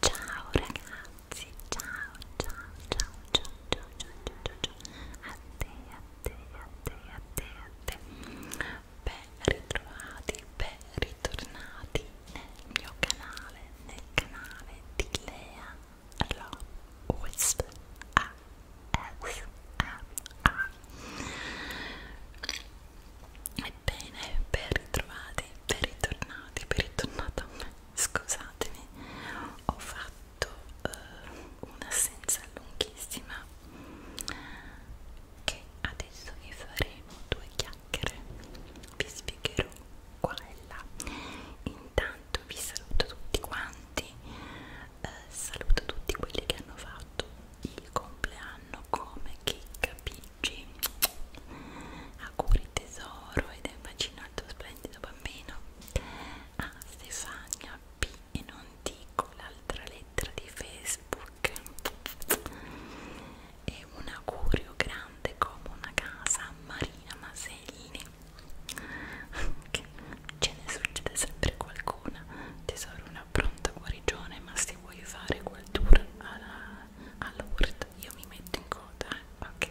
Ciao ragazzi, ciao, ciao, ciao, ciao, ciao, ciao, ciao, ciao, ciao. A te, a te, a te, a te, a te. Ben ritrovati, ben ritornati nel mio canale, nel canale di Lea Lo Wisp ASMR. Ebbene, ben ritrovati, ben ritornati, ben ritornato a me. Scusatemi, ho fatto uh, eh, un'assenza lunghissima che adesso vi faremo due chiacchiere, vi spiegherò qua e là. Intanto vi saluto tutti quanti, uh, saluto tutti quelli che hanno fatto il compleanno come chicca piggi auguri tesoro ed è un bacino al tuo splendido bambino a ah, Stefania P e non dico l'altra lettera di Facebook e un augurio grande come una casa a Marina Maselli che ce ne succede sempre qualcuna tesoro un una pronta guarigione ma se vuoi fare quel tour alla, alla Word io mi metto in coda eh? ok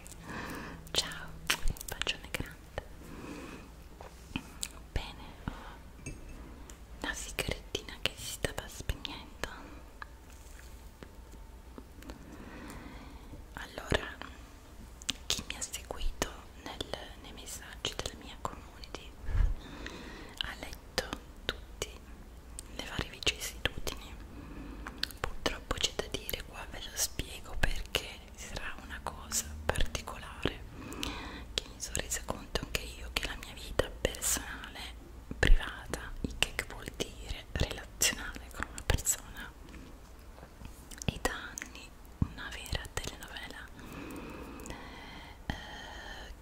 ciao un bacione grande bene ho una sigarettina che si stava spegnendo allora chi mi ha seguito nel, nei messaggi della mia community ha letto tutti le varie vicissitudini purtroppo c'è da dire qua ve lo spiego perché sarà una cosa particolare che mi sono resa conto anche io che la mia vita personale privata il che vuol dire relazionale con una persona e da anni una vera telenovela eh,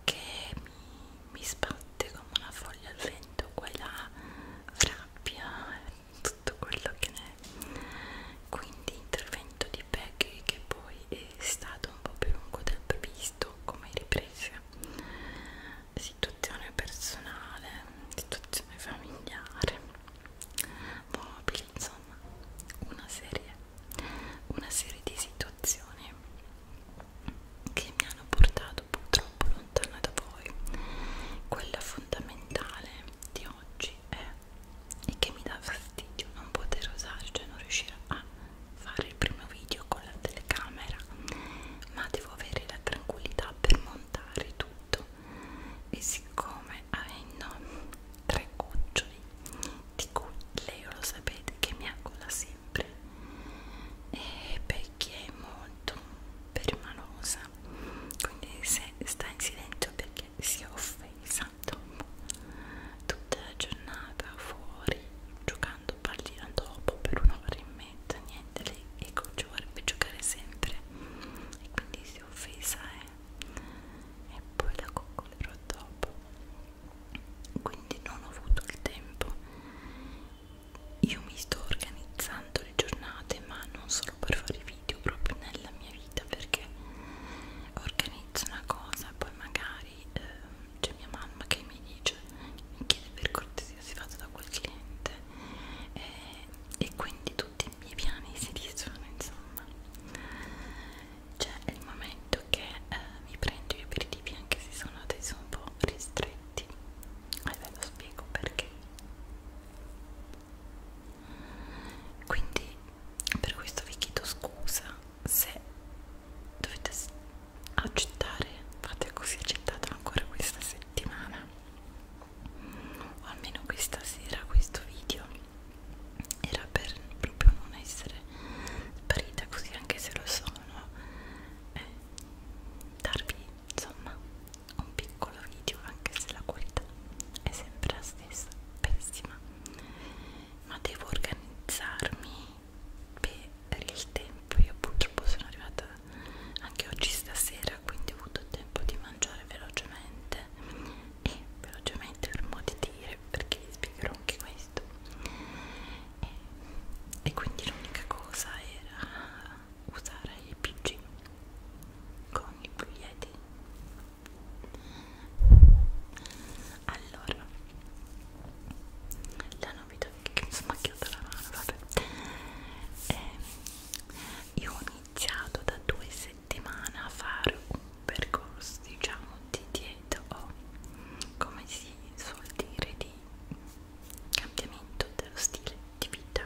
che mi mi sbatte come una foglia al vento quella rabbia e tutto quello che ne è quindi intervento di Peggy che poi è stato un po' più lungo del previsto come riprese situazione personale situazione familiare mobili insomma una serie una serie di situazioni che mi hanno portato purtroppo lontana da voi. Quella fondamentale di oggi è e che mi dà fastidio non poter usare, cioè non riuscire a fare il primo video con la telecamera, ma devo avere la tranquillità per montare tutto. E siccome avendo tre cuccioli di cui lei lo sapete che mi ha collassati sempre eh, perché è molto permalosa quindi se sta in silenzio perché si è offesa dopo tutta la giornata fuori giocando pallina dopo per un'ora e mezza niente lei ecco ci vorrebbe giocare sempre e quindi si è offesa eh. e poi la coccolerò dopo quindi non ho avuto il tempo io mi sto organizzando le giornate ma non solo per fare video proprio nella mia vita perché organizzo una cosa poi magari eh, c'è mia mamma che mi dice mi chiede per cortesia si fatta da quel cliente eh, e quindi tutti i miei piani si dissono insomma c'è cioè, il momento che eh, mi prendo io per altri tipi anche se sono adesso un po' ristretti e ve lo spiego perché quindi per questo vi chiedo scusa se dovete accettare fate così accettato ancora questa settimana o almeno questa sera questo video era per proprio non essere sparita così anche se lo sono e eh, darvi insomma un piccolo video anche se la qualità è sempre la stessa pessima ma devo organizzarmi per il tempo io purtroppo sono arrivata anche oggi stasera quindi ho avuto tempo di mangiare velocemente e velocemente per modo di dire perché vi spiegherò anche questo questo e, e quindi l'unica cosa era usare i pg con i puglietti allora la novità che mi sono macchiata la mano vabbè e ehm, io ho iniziato da due settimane a fare un percorso diciamo di dieta o come si suol dire di di cambiamento dello stile di vita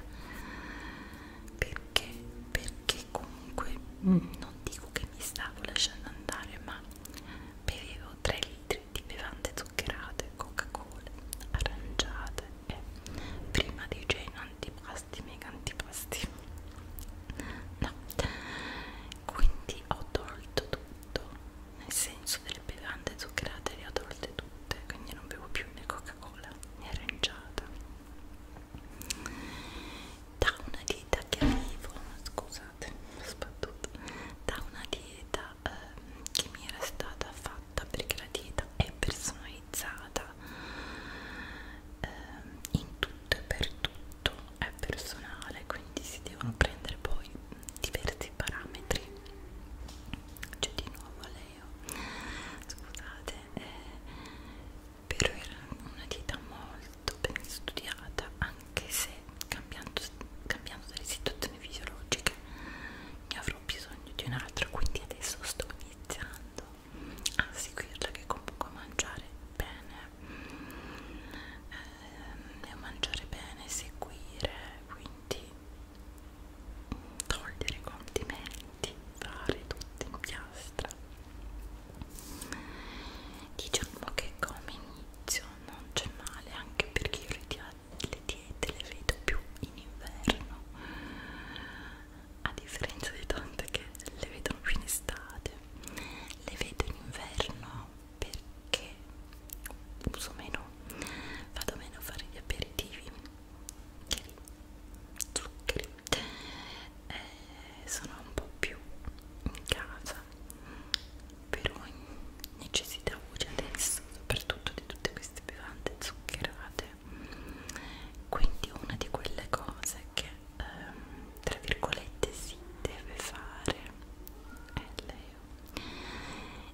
perché perché comunque mm. non dico che mi stavo lasciando andare ma bevevo 3 litri di bevande zuccherate coca cola aranciate e prima di cena antipasti mega antipasti no quindi ho tolto tutto nel senso delle bevande zuccherate le ho tolte tutte quindi non bevo più né coca cola né aranciata da una dieta che avevo scusate soprattutto da una dieta eh, che mi era stata fatta perché la dieta è personalizzata eh, in tutto e per tutto è personale quindi si devono prendere poi diversi questi parametri cioè di nuovo Leo oh. scusate eh, però era una dieta molto ben studiata anche se cambiando, cambiando delle situazioni fisiologiche ne avrò bisogno di un'altra quindi adesso sto iniziando a seguirla che comunque mangiare bene eh, Ehm, e a mangiare bene, seguire, quindi togliere i condimenti, fare tutto in piastra. Diciamo che come inizio non c'è male, anche perché io le, di le diete le vedo più in inverno, a differenza di tante che le vedono più in estate. Le vedo in inverno perché uso meno, vado meno a fare gli aperitivi, zuccheri, zuccheri. Eh, sono un po' più in casa per ogni necessità voce adesso, soprattutto di tutte queste bevande zuccherate. Quindi una di quelle cose che ehm, tra virgolette si deve fare è lei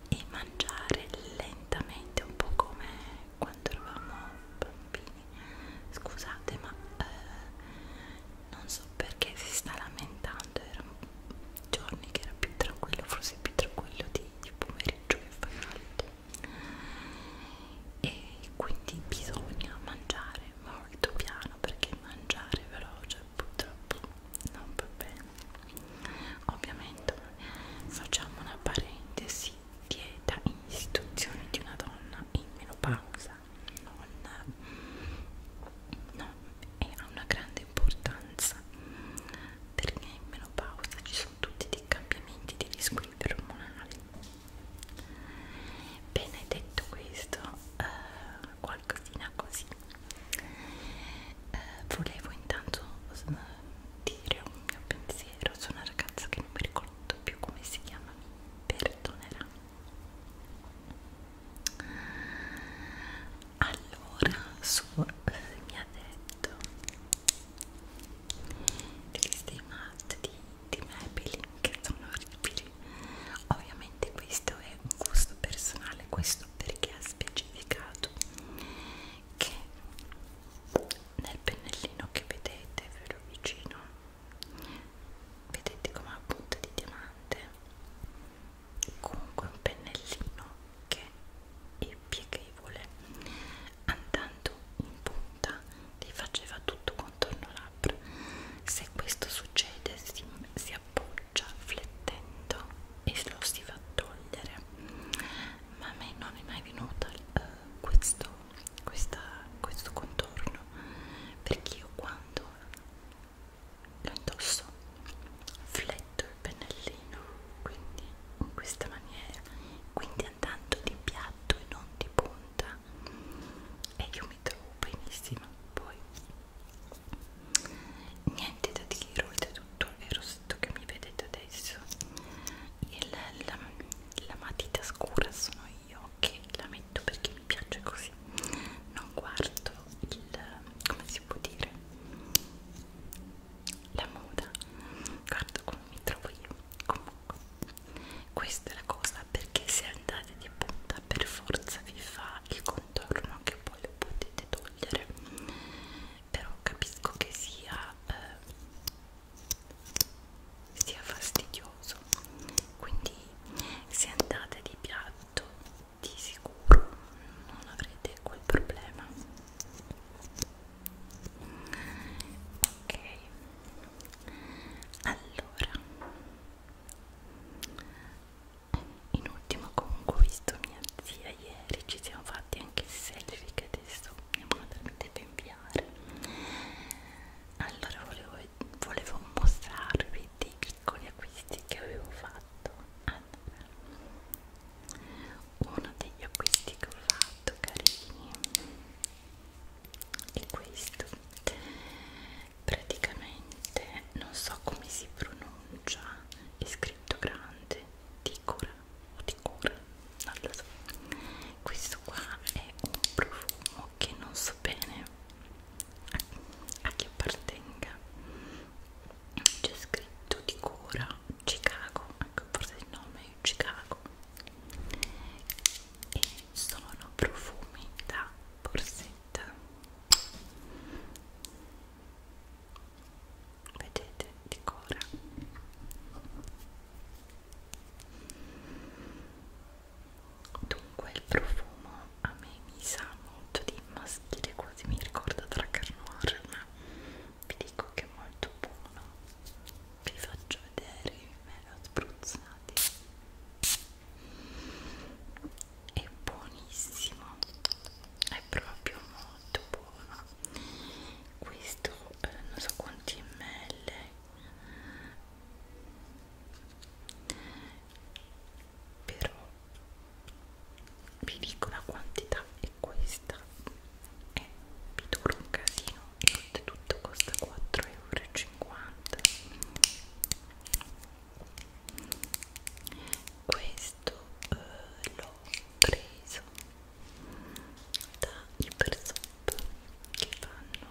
e mangiare lentamente un po' come quando eravamo bambini scusate ma eh, non so perché si sta lamentando erano giorni che era più tranquillo forse più tranquillo di, di pomeriggio che fa caldo e quindi bisogna mangiare molto piano perché mangiare veloce purtroppo non va bene ovviamente facciamo una parentesi dieta in istituzione di una donna in menopausa non, non è, ha una grande importanza perché in menopausa ci sono tutti dei cambiamenti di risquilibrio ormonali bene detto questo eh, qualcosina così eh, volevo intanto mm, dire un mio pensiero su una ragazza che non mi ricordo più come si chiama perdonerà allora su eh, mi ha detto questi matte di, di Maybelline che sono orribili ovviamente questo è un gusto personale questo perché ha specificato che nel pennellino che vedete ve lo vicino vedete come ha punta di diamante comunque un pennellino che è pieghevole andando in punta ti faceva tutto contorno labbra se questo succede si, si appoggia faccia flettendo e lo si va a togliere ma a me non è mai venuta uh, questo, questa, questo contorno perché io quando lo indosso fletto il pennellino quindi in questa maniera quindi andando di piatto e non di punta e io mi trovo benissimo poi niente da dire oltretutto il rossetto che mi vedete adesso il, la, la matita scura sono io che la metto perché mi piace così non guardo il come si può dire la moda guardo come mi trovo io comunque questa è la cosa perché se andate di punta per forza vi fa il contorno che poi lo potete potete togliere però capisco che sia eh, sia fastidioso quindi se andate di piatto di sicuro non avrete quel problema ok allora in ultimo comunque ho visto mia zia ieri ci siamo fatti anche i selfie che adesso mia madre mi deve inviare allora volevo, volevo mostrarvi dei piccoli acquisti che avevo fatto allora, uno degli acquisti che ho fatto carini è questo praticamente non so come si pronuncia è scritto grande ticora o ticora non lo so questo qua è un profumo che non so bene a, a chi appartenga c'è scritto ticora Chicago anche forse il nome è Chicago e sono profumi da borsetta vedete di cora dunque il profumo a me mi sa molto di maschile quasi mi ricorda tra carnoir ma vi dico che è molto buono vi faccio vedere me lo spruzzate è buonissimo è proprio molto buono questo eh, non so quanti ml però vi dico la quantità è questa e eh, vi dura un casino e oltretutto costa 4,50 euro questo eh, l'ho preso da Hypersop che fanno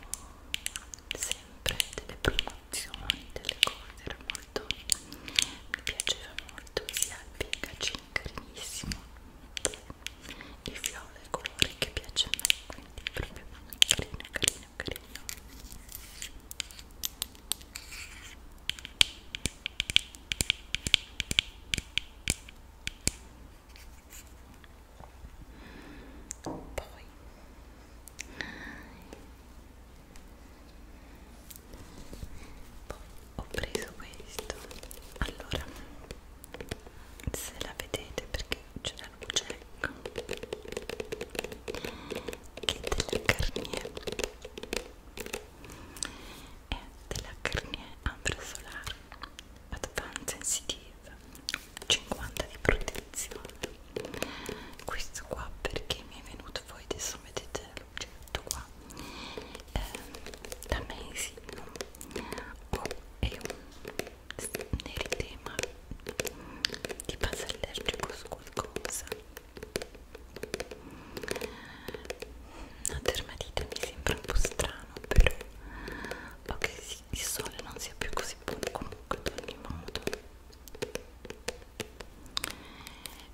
sempre delle promozioni, delle cose, era molto, mi piaceva molto sia il packaging carinissimo il viola è il colore che piace a me, quindi proprio carino, carino, carino poi ho preso questo allora se la vedete perché c'è la luce ecco che eh, della Garnier è della Garnier Ambra Solar Advanced Sensitive 50 di protezione questo qua perché mi è venuto poi adesso vedete la luce tutto qua eh, da Macy oh, è un nel tema di base allergico sul cosa una dermatite mi sembra un po' strano però ok sì, il sole non sia più così buono comunque ad ogni modo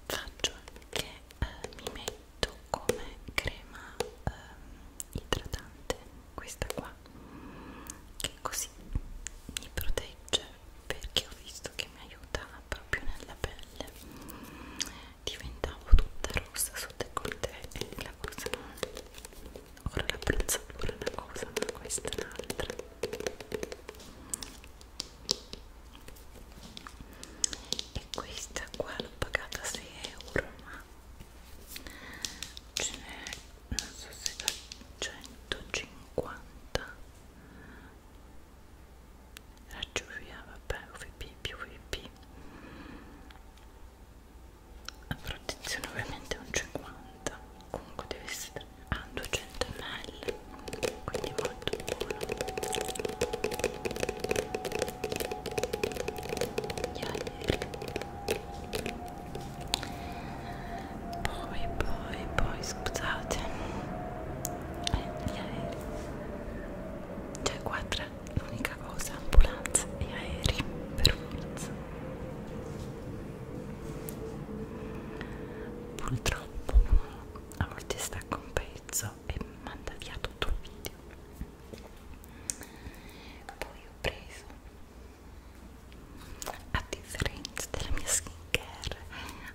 faccio che eh, mi metto come crema eh, idratante questa qua che così mi protegge perché ho visto che mi aiuta proprio nella pelle diventavo tutta rossa sotto il coltello e la cosa ora la penso pure una cosa ma questa è un'altra e questa qua l'ho pagata 6 euro ma ce n'è non so se da 150 raggio via vabbè UVB più UVB la protezione ovviamente è un 50 comunque deve essere a ah, 200 ml quindi molto buono yeah, yeah poi poi poi scusate gli aerei cioè qua tra l'unica cosa ambulanze e aerei per forza purtroppo a volte stacco un pezzo e manda via tutto il video poi ho preso a differenza della mia skin care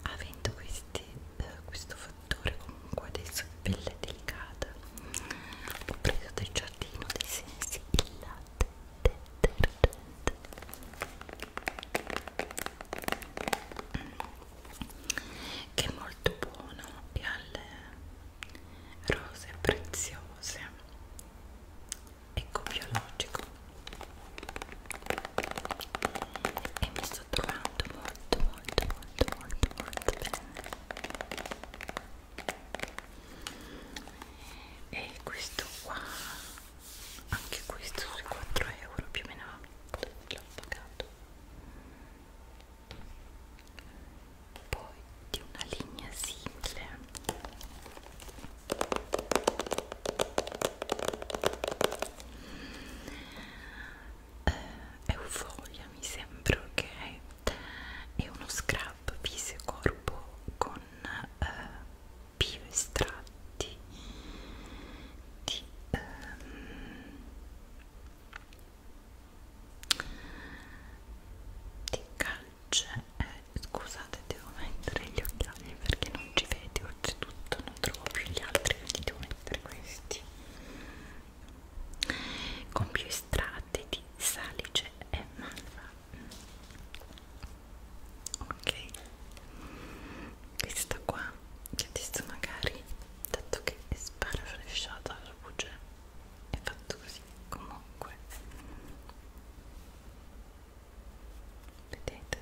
avendo questi, eh, questo fattore comunque adesso di pelle delicata ho preso dal giardino dei sensi il latte detergente che è molto buono e alle rose preziose ecco biologico e mi sto trovando molto molto molto molto molto bene e questo qua anche questo sui 4 euro più o meno l'ho pagato poi di una linea simile eh, Euforia mi sembra ok è uno scrub viso e corpo con eh, bio estratti di ehm, di calce eh, scusate devo mettere gli occhiali perché non ci vedi oltretutto non trovo più gli altri quindi devo mettere questi con più estratti di salice e malva ok questa qua che adesso magari dato che è sparaflesciata la luce è fatto così comunque vedete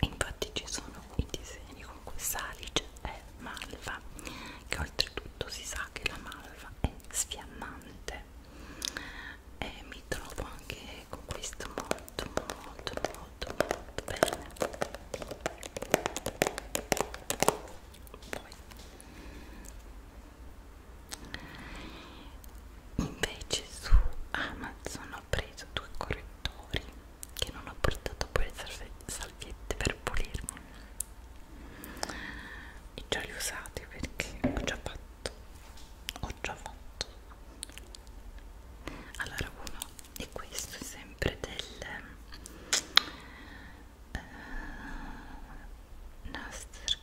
infatti ci sono i disegni con questa alice è malva che oltretutto si sa che la malva è sfiammante e mi trovo anche con questo molto molto molto molto bene poi invece su Amazon ho preso due correttori che non ho portato poi le salviette per pulirmi e già li ho usati perché ho già fatto ho già fatto allora uno è questo è sempre del eh, Nasser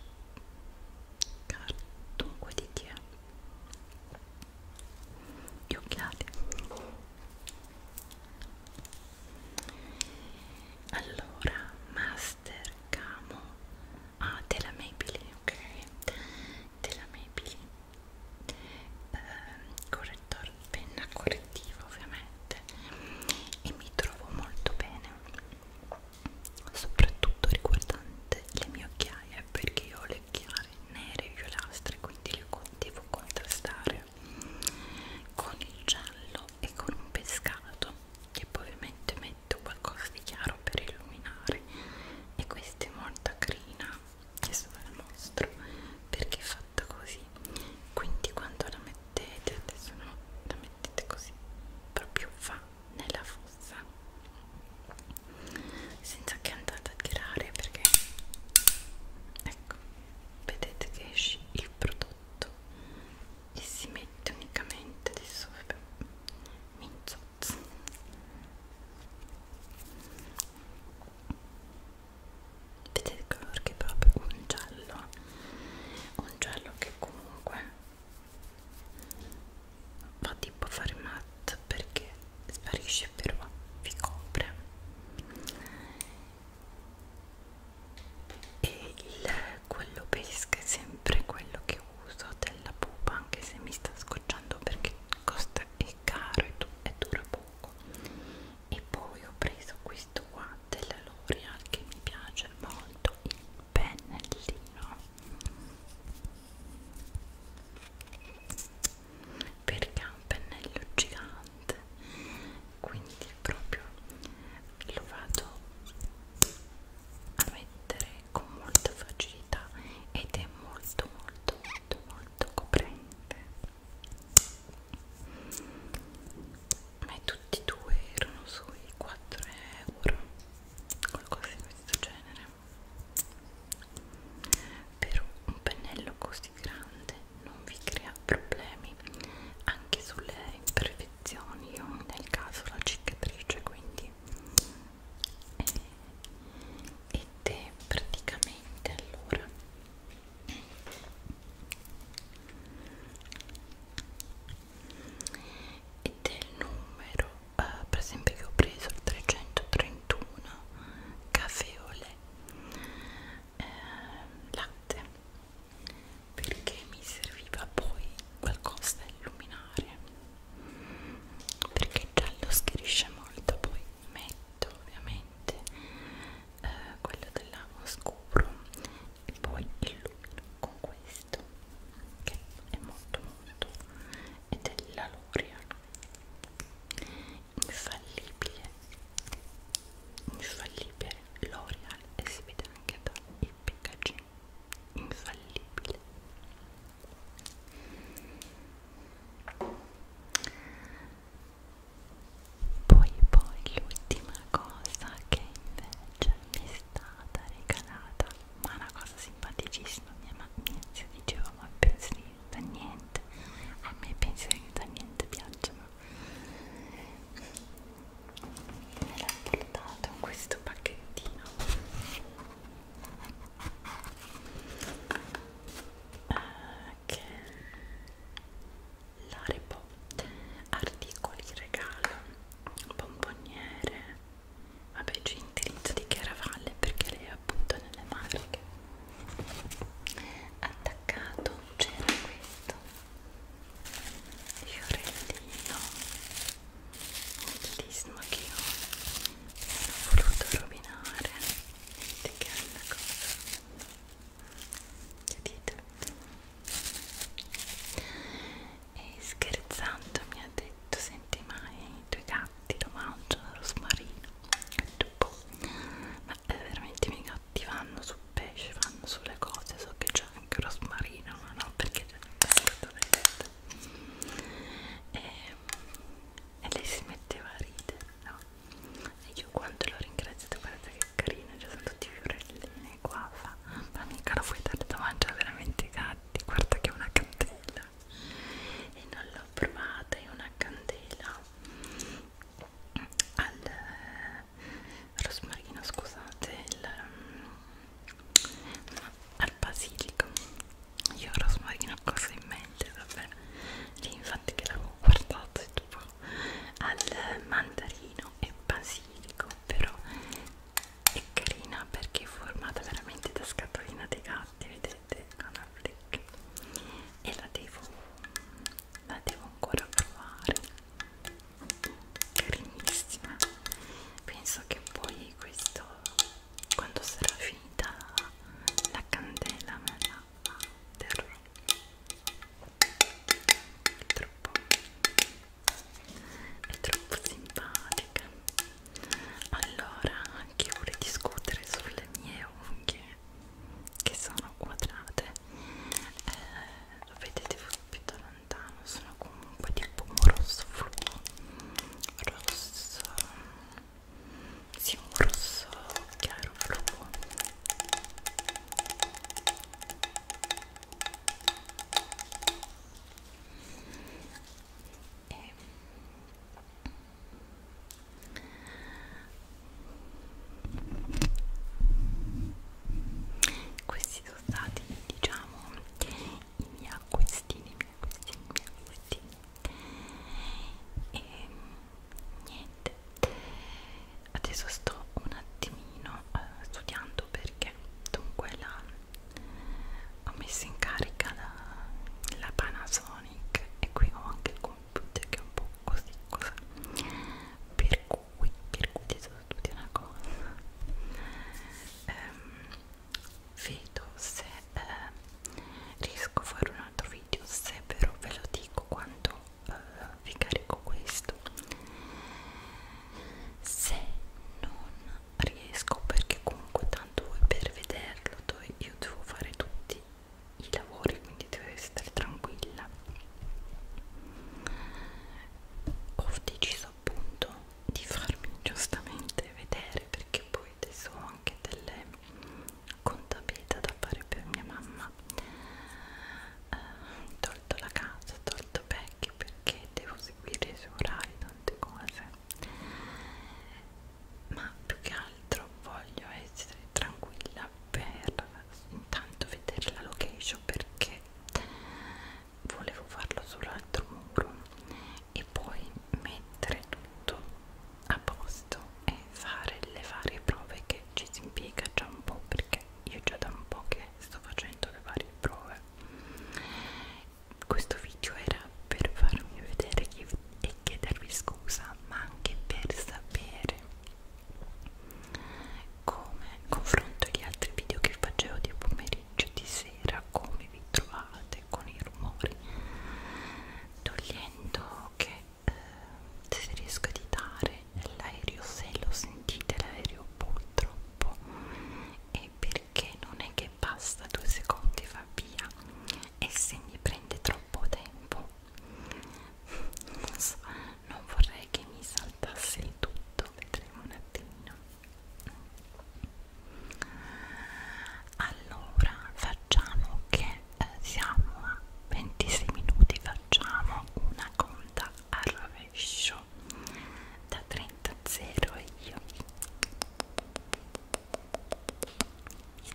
Car dunque di chi è? gli occhiali allora Master Camo ah della Maybelline ok della Maybelline eh, correttore penna correttiva ovviamente e mi trovo molto bene soprattutto riguardante le mie occhiaie perché io ho le occhiaie nere e violastre quindi le devo contrastare con il giallo e con un pescato e poi ovviamente metto qualcosa di chiaro per illuminare e questa è molto carina adesso ve la mostro perché è fatta così quindi quando la mettete adesso no la mettete così proprio fa nella fossa senza che andate a tirare perché ecco vedete che esce il prodotto e si mette unicamente adesso minzozzo vedete il colore che è proprio un giallo un giallo che comunque va tipo a fare matte perché sparisce però vi copre e il, quello pesca è sempre quello che uso della pupa anche se mi sta scocciando perché costa è caro e, du e dura poco e poi ho preso questo qua della L'Oreal che mi piace molto il pennellino perché ha un pennello gigante quindi proprio lo vado a mettere con molta facilità ed è molto molto molto molto coprente ma tutti e due erano sui 4 euro qualcosa di questo genere però un pennello così grande non vi crea problemi anche sulle imperfezioni io nel caso la cicatrice quindi eh, ed è praticamente allora e del numero eh, per esempio che ho preso il 331 caffè o lè eh, latte perché mi serviva poi qualcosa da illuminare perché il giallo schiarisce molto poi metto ovviamente eh, quello dell'amo scuro e poi illumino con questo questo che è molto molto ed è la L'Oreal infallibile infallibile L'Oreal e si vede anche dal packaging infallibile poi poi l'ultima cosa che invece mi stata regalata ma una cosa simpaticissima mia mattina si diceva ma i pensieri da niente a me i pensieri da niente piacciono me l'ha portato in questo pacchettino ah, che la Reebok articoli regalo, bomboniere, vabbè c'è indirizzo di Chiaravalle perché lei è appunto nelle marche attaccato c'era questo fiorellino bellissimo che io non ho voluto rovinare vedete che è una cosa vedete e scherzando mi ha detto senti ma i tuoi gatti lo mangiano rosmarino boh, ma veramente i miei gatti vanno sul pesce vanno sulle cose so che c'è anche rosmarino ma no perché c'è e, e lei si metteva a ridere no? e io quando l'ho ringraziato guardate che carino ci sono tutti i fiorellini nei guava ma mica lo puoi dare da mangiare veramente ai gatti guarda che è una candela e non l'ho provata è una candela al eh, rosmarino scusate il, no, mm, al basilico io il rosmarino ho cosa in mente vabbè lì infatti che l'avevo guardato e dopo al mandarino e basilico però è carina perché è formata veramente da scatolina dei gatti vedete Canaflick e la devo la devo ancora provare carinissima penso che poi questo quando sarà finita la candela me la terrò troppo è troppo simpatica allora anche vorrei discutere sulle mie unghie che sono quadrate eh, lo vedete più da lontano sono comunque tipo un rosso fluo rosso sì un rosso chiaro fluo e... questi sono stati diciamo i miei acquistini i miei acquistini i miei acquistini e niente adesso sto un attimo attimino eh, studiando perché dunque la, ho messo in carica la, la Panasonic e qui ho anche il computer che è un po' così cosa per cui per cui ti sono tutti una cosa ehm, vedo se eh, riesco a fare un altro video se però ve lo dico quando eh, vi carico questo se non riesco perché comunque tanto voi per vederlo io devo fare tutti i lavori quindi devo stare tranquilla ho deciso appunto di farmi giustamente vedere perché poi adesso ho anche delle contabilità da fare per mia mamma eh, tolto la casa tolto vecchi perché e devo seguire su Rai tante cose ma più che altro voglio essere tranquilla per intanto vedere la location perché volevo farlo sull'altro muro e poi mettere tutto a posto e fare le varie prove che ci si impiega già un po' perché io già da un po' che sto facendo le varie prove comunque questo video era per farmi vedere e chiedervi scusa ma anche per sapere come confronto gli altri video che facevo di pomeriggio di sera come vi trovate con i rumori togliendo che eh, se riesco a editare l'aereo se lo sentite l'aereo poltro troppo e perché non è che basta due secondi va via e se mi prende troppo tempo non so non vorrei che mi saltasse il tutto vedremo un attimino allora facciamo che eh, siamo a 26 minuti facciamo una conta a rovescio show da 30 0 io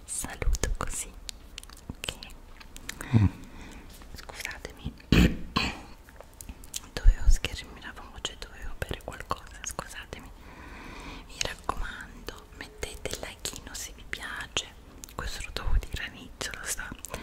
saluto così ok mm. scusatemi dovevo schermi la voce cioè dovevo bere qualcosa scusatemi mi raccomando mettete il like se vi piace questo lo devo dire all'inizio lo so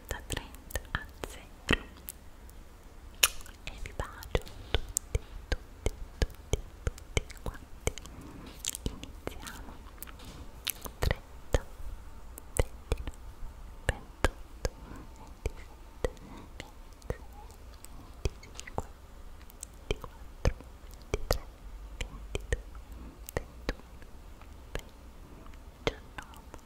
da 30 a 0 e vi bacio tutti tutti tutti tutti quanti iniziamo 30 29 28 27 26 25 24 23 22 21 20 19